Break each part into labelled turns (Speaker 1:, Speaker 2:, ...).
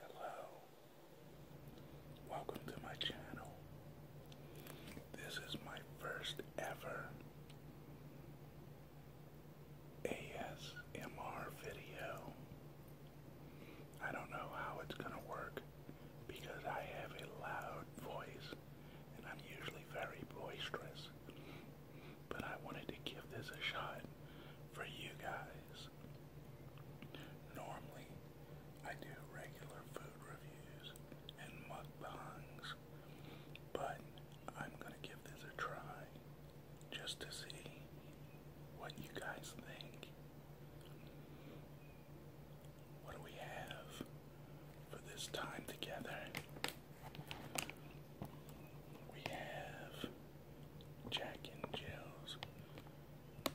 Speaker 1: Hello. Welcome to my channel. This is my first ever ASMR video. I don't know how it's going to work because I have a loud voice and I'm usually very boisterous. But I wanted to give this a shot for you guys. Normally, I do regular food reviews and mukbangs, but I'm going to give this a try just to see what you guys think. What do we have for this time together? We have Jack and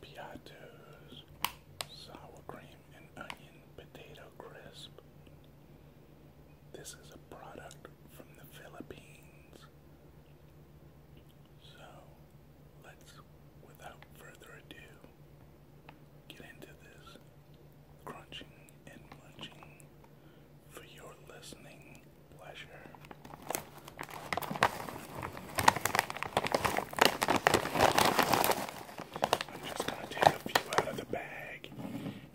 Speaker 1: Piatos, sour cream and onion potato crisp. This is a product from the Philippines. So let's, without further ado, get into this crunching and munching for your listening pleasure. I'm just going to take a few out of the bag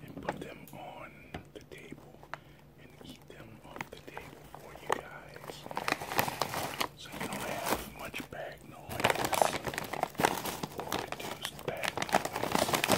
Speaker 1: and put them on the table and eat them off the table for you guys. So you don't have much bag noise or reduced bag noise.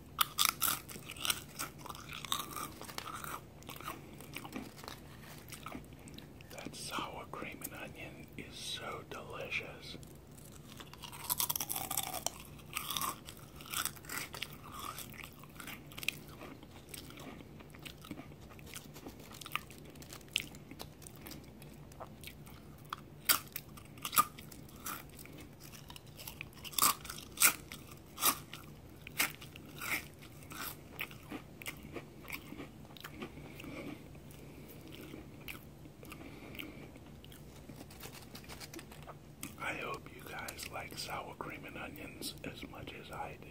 Speaker 1: That sour cream and onion is so delicious. I hope you guys like sour cream and onions as much as I do.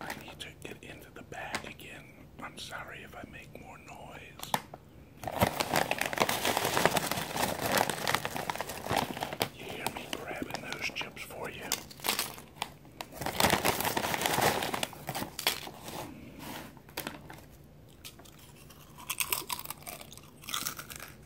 Speaker 1: I need to get into the bag again. I'm sorry if I make more noise. You hear me grabbing those chips for you.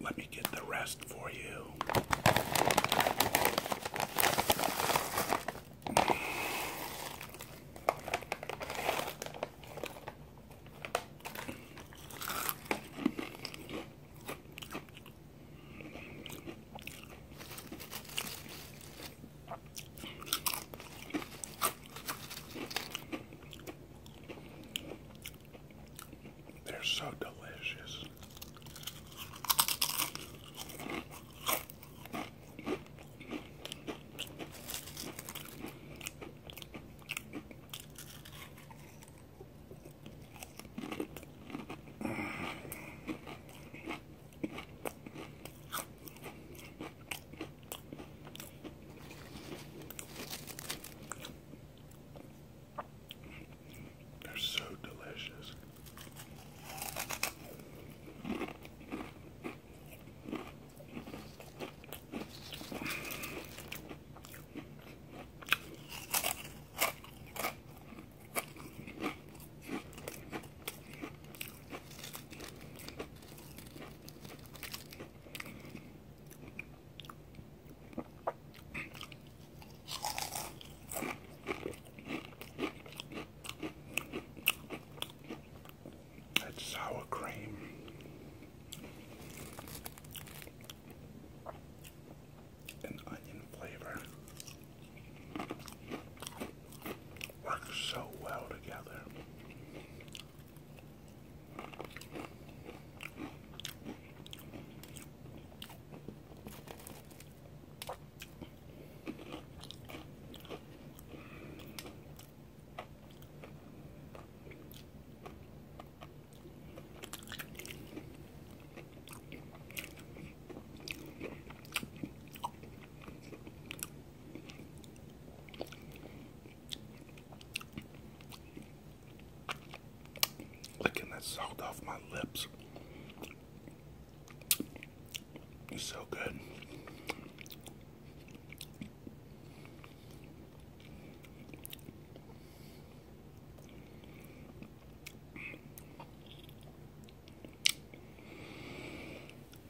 Speaker 1: Let me get the rest for you. They're so delicious. They're so delicious. That's sour cream and onion flavor works so well together. Licking that salt off my lips. so good.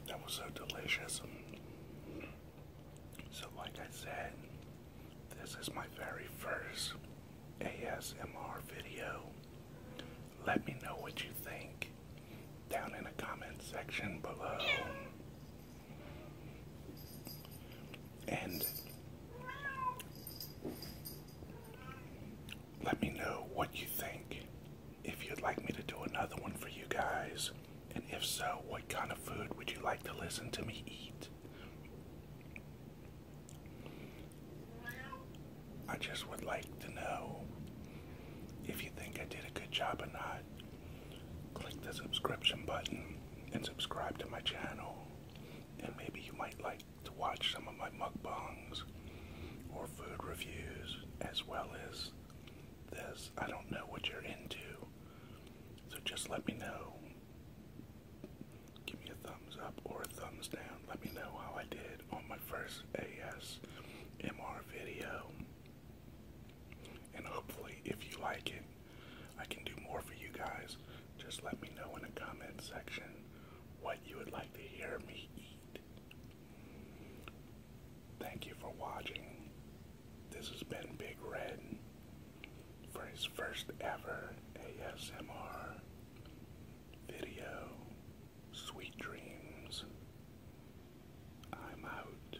Speaker 1: That was so delicious. So, like I said, this is my very first ASMR video. Let me know what you think down in the comment section below. And let me know what you think. If you'd like me to do another one for you guys, and if so, what kind of food would you like to listen to me eat? I just would like to know if you think I did a good job or not. Click the subscription button and subscribe to my channel, and maybe you might like to watch some of my mukbangs or food reviews as well as this. I don't know what you're into, so just let me know. Give me a thumbs up or a thumbs down. Let me know how I did on my first ASMR video. And hopefully, if you like it, I can do more for you guys. Just let me know in the comment section what you would like to hear me eat. Thank you for watching. This has been Big Red for his first ever ASMR video. Sweet dreams. I'm out.